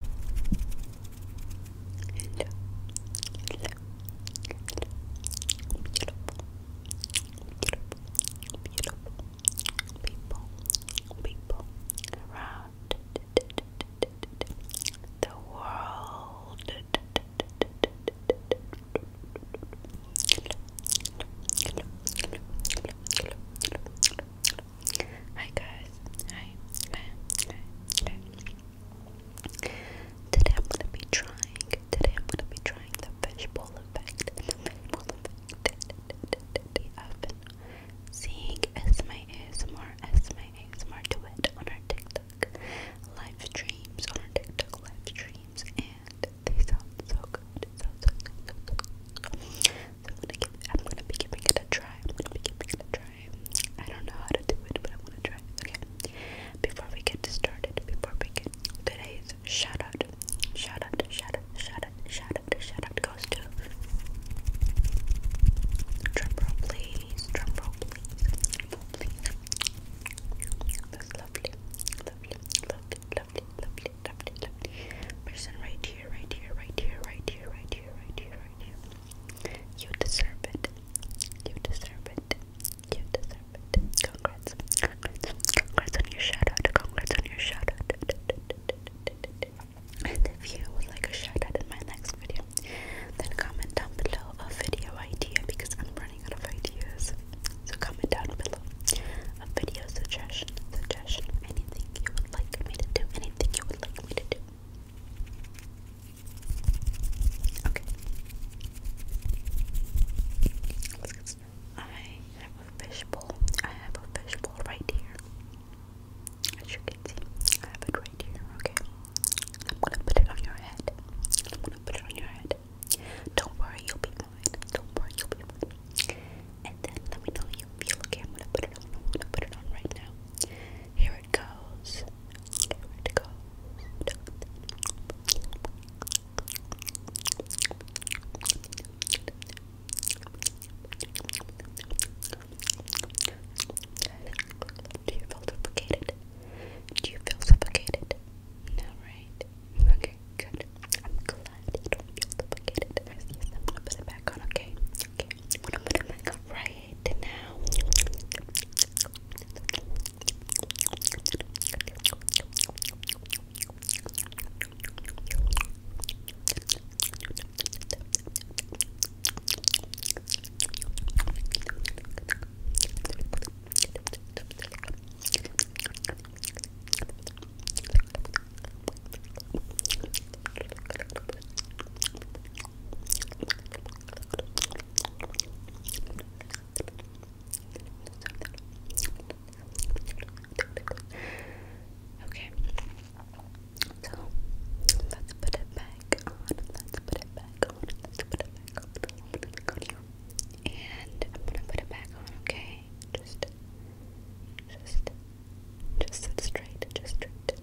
Hello. Hello. Beautiful. Beautiful. Beautiful. People. People around the world. Hi guys. Hi. Hi. Hi. Hi. Today I'm gonna be trying. Today I'm gonna be trying the fishbowl effect. fishbowl effect. I've been seeing Esme ASMR, Esme ASMR do it on our TikTok live streams, on our TikTok live streams, and they sound so good. So so so so I'm gonna I'm gonna be giving it a try. I'm gonna be giving it a try. I don't know how to do it, but I'm gonna try. Okay. Before we get started, before we get today's shout out, shout out, shout out, shout out, shout out, shout out goes to drumroll please, drumroll please, drumroll please. That's lovely, lovely, lovely, lovely, lovely, lovely, lovely person right here, right here, right here, right here, right here, right here, right here. You deserve it. You deserve it. You deserve it. Congrats. Congrats. Congrats on your shout out. Congrats on your shout out. And if you would like a shout out in my next video, then comment down below a video idea because I'm running out of ideas. So comment down below a video suggestion, suggestion, anything you would like me to do, anything you would like me to do. Okay. Let's get started. I have a fishbowl. I have a fishbowl right here. As you can see, I have it right here. Okay. I'm gonna put it on your head. I'm gonna put it on your head. Don't worry, you'll be fine. Don't worry, you'll be fine. And then let me know you feel. Okay, I'm gonna put it I'm gonna put it on right now. Here where it goes. where it goes. Do you feel suffocated? Do you feel suffocated? No, right? Okay, good. I'm glad you don't feel suffocated. Yes, I'm gonna put it back on, Okay. what I'm gonna make up right now. Thank Okay. So let's put it back on. Let's put it back on. Let's put it back on. Put it back on. And I'm gonna put it back on, okay? Just just just straight, just straight.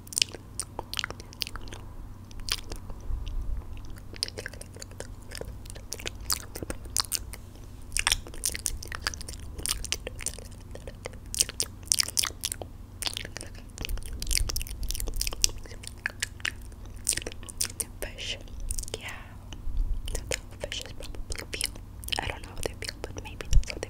Fish, yeah, that's how fish probably feel. I don't know how they feel, but maybe that's how they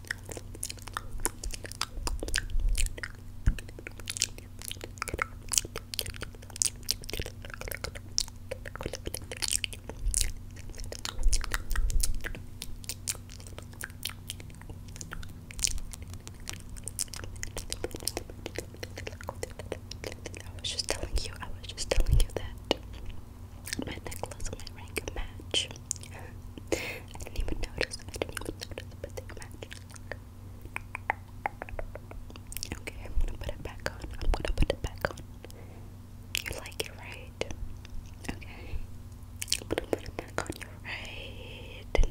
I was just telling you, I was just telling you that my necklace and my ring match. I didn't even notice. I didn't even notice, but they match. Okay, I'm gonna put it back on. I'm gonna put it back on. You like it, right? Okay. I'm gonna put it back on you right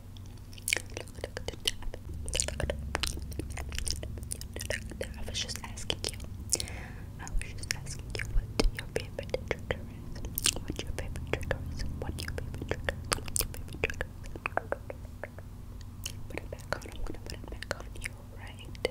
I was just asking you. I was just asking you what your favorite trigger is. What your favorite trigger is. What your favorite trigger favorite trigger Put it back on. put it back on you, right?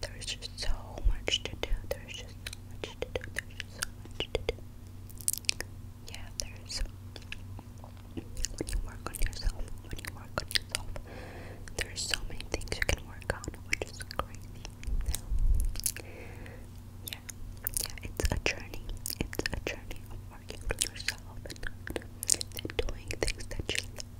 There's just so much to do. There's just so much to do. There's just so much to do. Yeah, there's when you work on yourself, when you work on yourself, there's so many things you can work on, which is crazy. So, yeah, yeah, it's a journey. It's a journey of working on yourself and, and doing things that you love.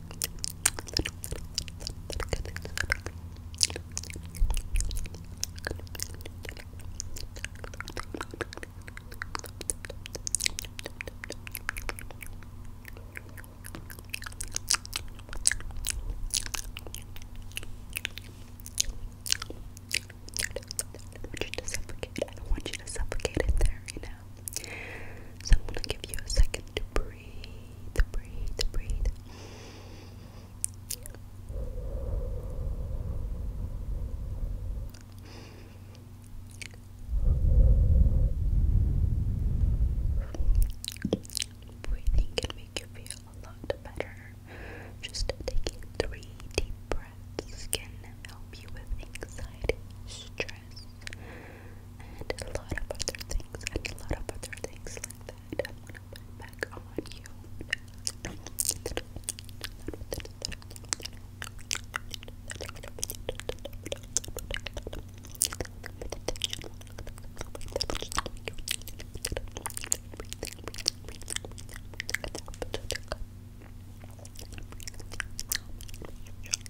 want you to suffocate. I don't want you to suffocate in there, you know. So I'm gonna give you a second to breathe breathe, breathe, breathe. Breathing can make you feel a lot better. Just taking three deep breaths can help you with anxiety, stress, and a lot of other things, and a lot of other things like that. I'm gonna put back on you.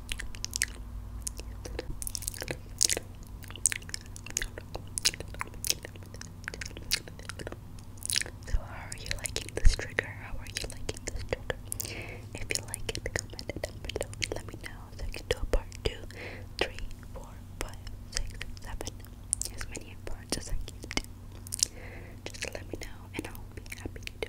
So how are you liking this trigger? How are you liking this trigger? If you like it, comment it down below let me know so I can do a part 2, as many parts as I can do. Just let me know and I'll be happy to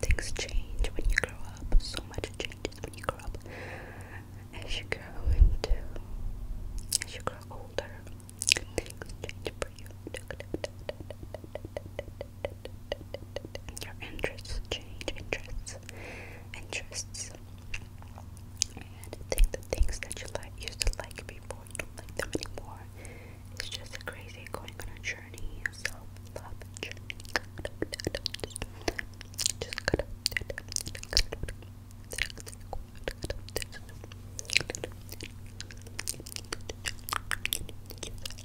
Things change when you grow up. So much changes when you grow up. As you grow into, as you grow older, things change for you your interests change interests interests and the things that you like used to like before don't like them anymore it's just crazy going on a journey a self-love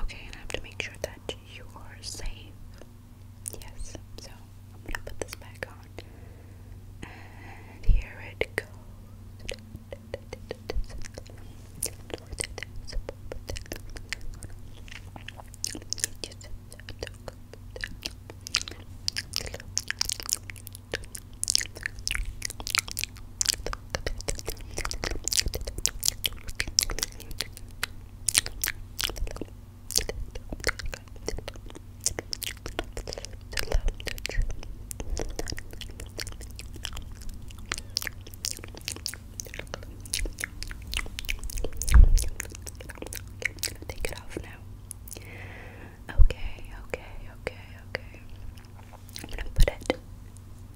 Okay, and I have to make sure that you are safe. Yes, so I'm gonna put this back on. And here it goes. Take it off now. Okay, okay, okay, okay. I'm gonna put it